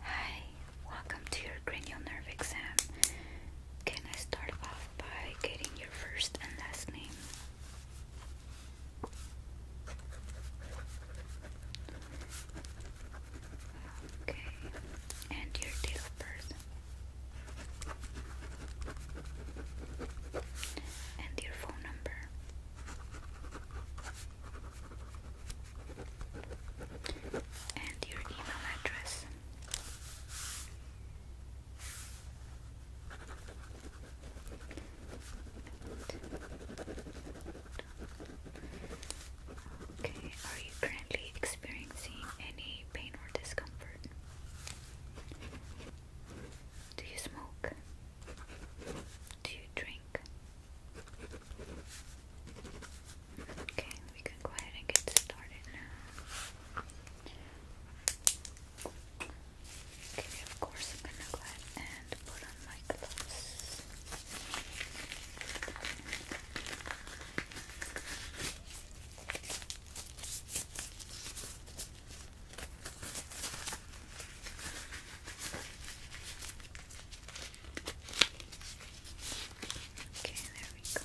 Hi, welcome to your cranial nerve exam. Can I start off by getting your first and last name? Okay, and your date of birth. And your phone number and your email address. Okay, are you currently experiencing any pain or discomfort? Do you smoke? Do you drink? Okay, we can go ahead and get started now. Okay, of course, I'm gonna go ahead and put on my clothes. Okay, there we go.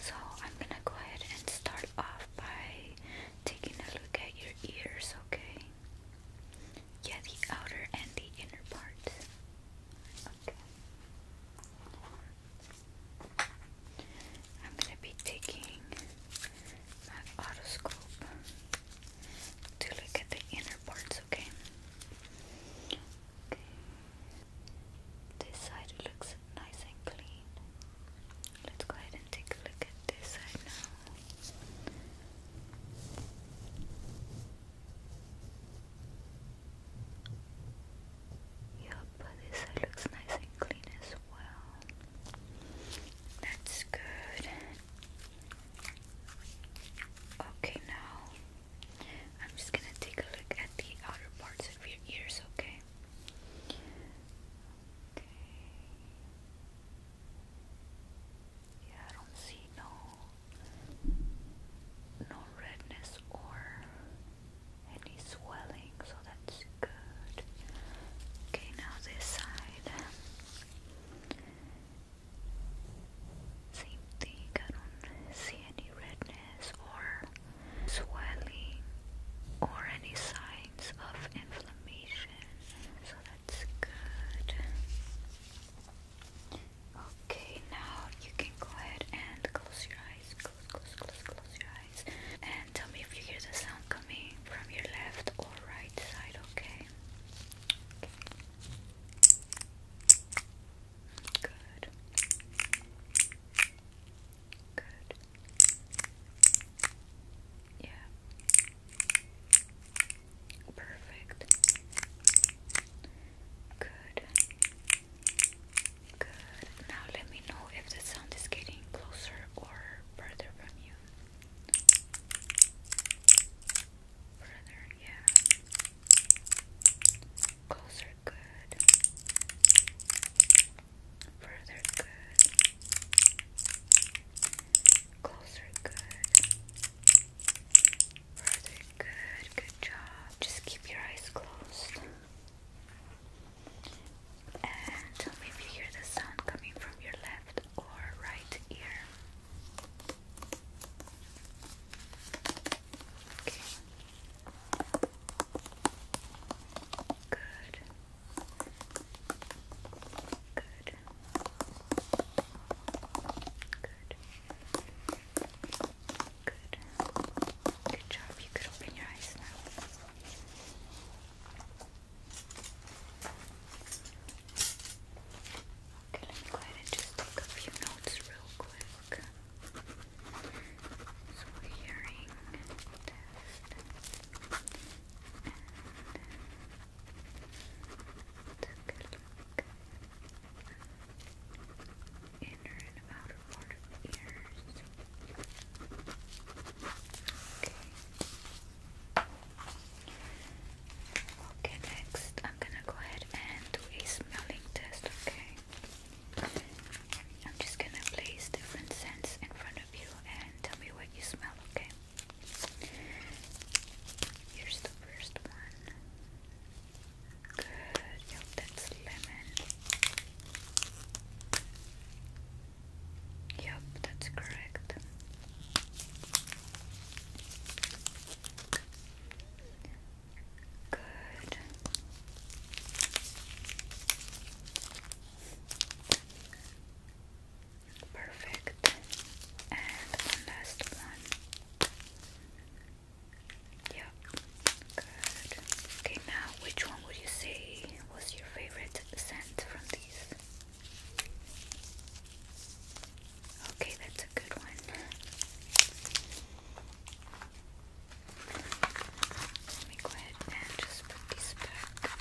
So I'm gonna go ahead and start off by taking a look at your ears, okay? Yeah, the outer and the inner part. Okay. I'm gonna be taking my otoscope to look at the inner parts okay? Okay. This side looks nice and clean. Let's go ahead and take a look at this side now. Yup, this side looks nice and clean as well. That's good. Okay, now I'm just gonna take a look at the outer parts of your ears, okay? Okay. Yeah, I don't see no no redness or any swelling, so that's good. Okay, now this side. Same thing, I don't see any redness or swelling or any signs of inflammation, so that's good. Okay, now you can go ahead and close your eyes. Close, close, close, close your eyes. And tell me if you hear the sound coming from your left or right side, okay? Good. Good. Yeah. Perfect. Good. Good. Now let me know if the sound is getting closer or further from you. Further, yeah. Closer, good. Further, good. Closer, good. Further, good. Good job. Just keep your eyes closed. And tell me if you hear the sound coming from your left or right ear. Okay. Good. Good. Good. Good. Good job. You could open your eyes now. Okay, let me go ahead and just take a few notes real quick. So we're hearing test and take a look inner and outer part of ears. Okay. Okay, next I'm gonna go ahead and do a smelling test, okay? I'm just gonna place different scents in front of you and tell me what you smell, okay? Here's the first one. Good, yep, that's lemon. Yep, that's correct. Good. Perfect. And one last one. Yep. Good. Okay, now which one would you say was your favorite scent from these? Okay, that's a good one. Let me go ahead and just put these back.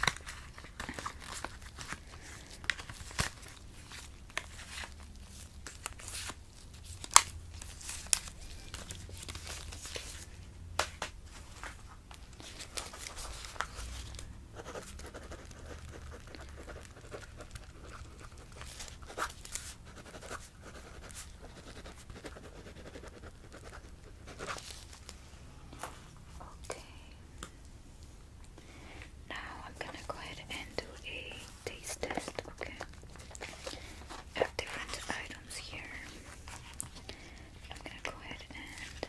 Okay. Now I'm gonna go ahead and do a taste test. Okay. have different items here. I'm gonna go ahead and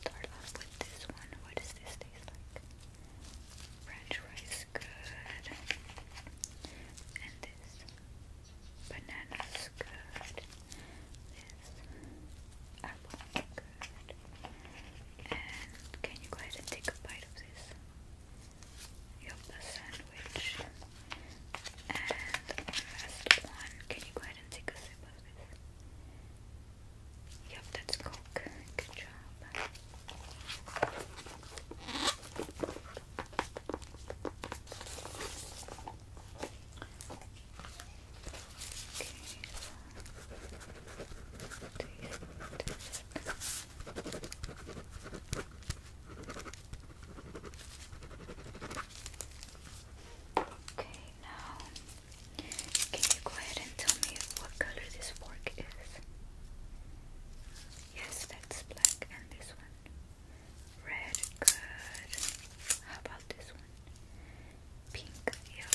start off with this one. What does this taste like? French fries, good. And this. Bananas, good. This. Apple, good. And can you go ahead and take a bite of this? Yup, sandwich. And last one, can you go ahead and take a sip of this? Yep, that's Coke. Good job. Okay. Okay, now can you go ahead and tell me what color this fork is? Yes, that's black, and this one. Red, How about this one? Pink, yep.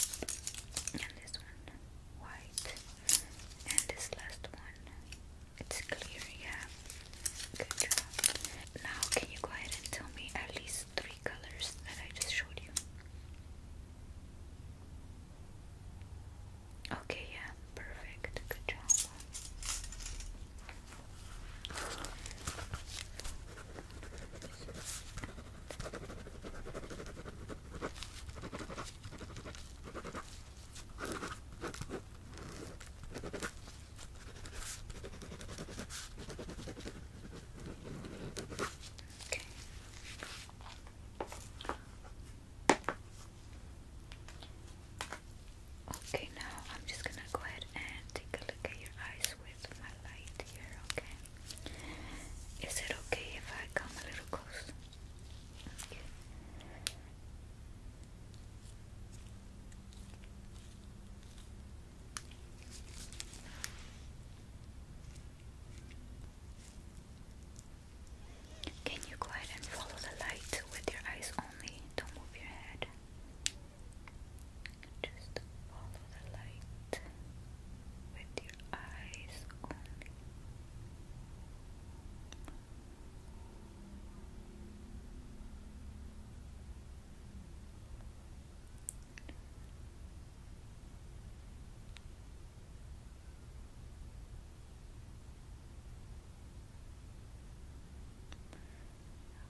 And this one, white. And this last one, it's clear, yeah. Good job. Now, can you go ahead and tell me at least three colors that I just showed you. Okay, yeah, perfect. Good job. Okay. Okay, now I'm just gonna go ahead and take a look at your eyes with my light here, okay? Is it okay if I come a little close? Can you go ahead and follow the light with your eyes only? Don't move your head. Just follow the light with your eyes only.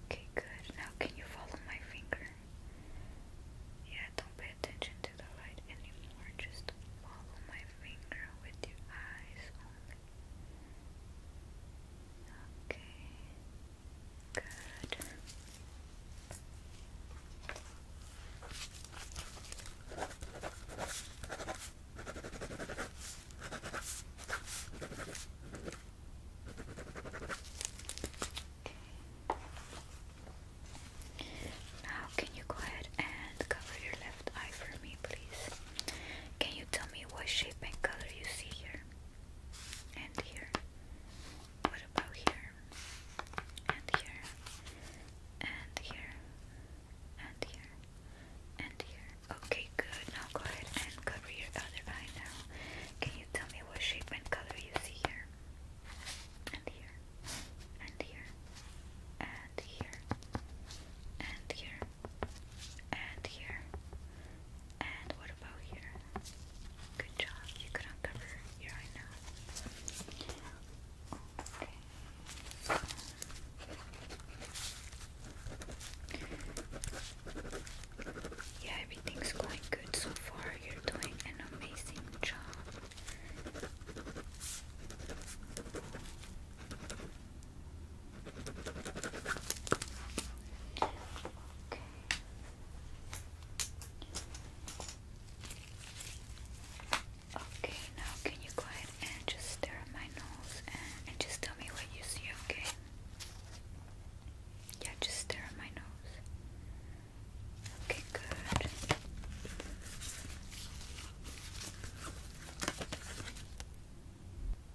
Okay, good. Now, can you follow my finger? Yeah, don't pay attention to the light anymore. Just follow my finger with your eyes only. Okay. Okay. Now, can you go ahead and cover your left eye for me, please? Can you tell me what shape and color you see here and here? what about here? And here, and here, and here, and here. Okay, good. Now go ahead and cover your other eye now. Can you tell me what shape and color you see here? And here, and here, and here, and here, and here. And what about here? Good job. You could uncover your eye now. Okay. Yeah, everything's going good so far. You're doing an amazing job. Okay. Okay, now can you go ahead and just stare at my nose and, just tell me what you see, okay? Yeah, just stare at my nose. Okay, good.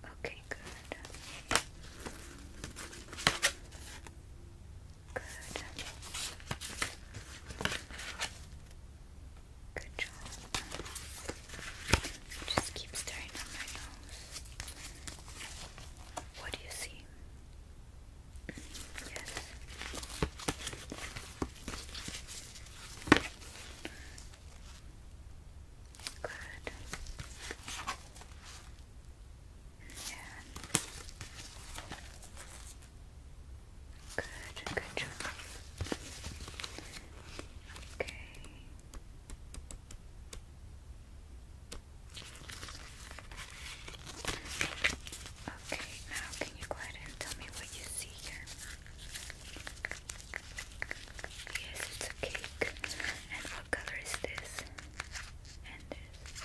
Okay, good. Good. Good job. Just keep staring at my nose. What do you see? Yes. Good. Yeah. Good, good job. Okay. Okay, now can you go ahead and tell me what you see here? it's a cake. And what color is this, and this.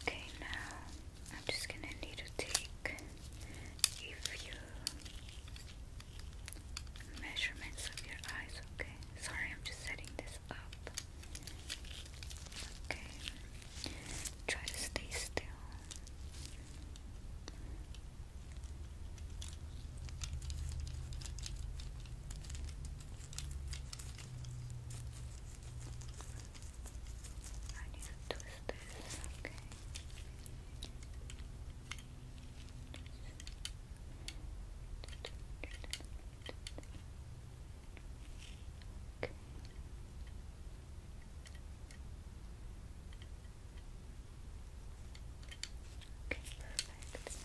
Okay, now I'm just gonna need to take a few measurements of your eyes, okay? Sorry, I'm just setting this up. Okay, try to stay still. I need to twist this, okay. okay. Okay, perfect.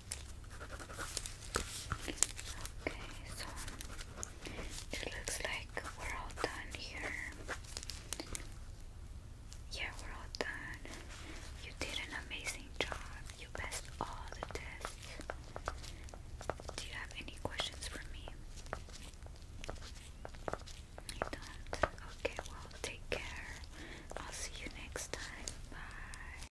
Okay, so it looks like we're all done here. Yeah, we're all done. You did an amazing job. You passed all the tests. Do you have any questions for me? You don't? Okay, well, take care. I'll see you next time. Bye.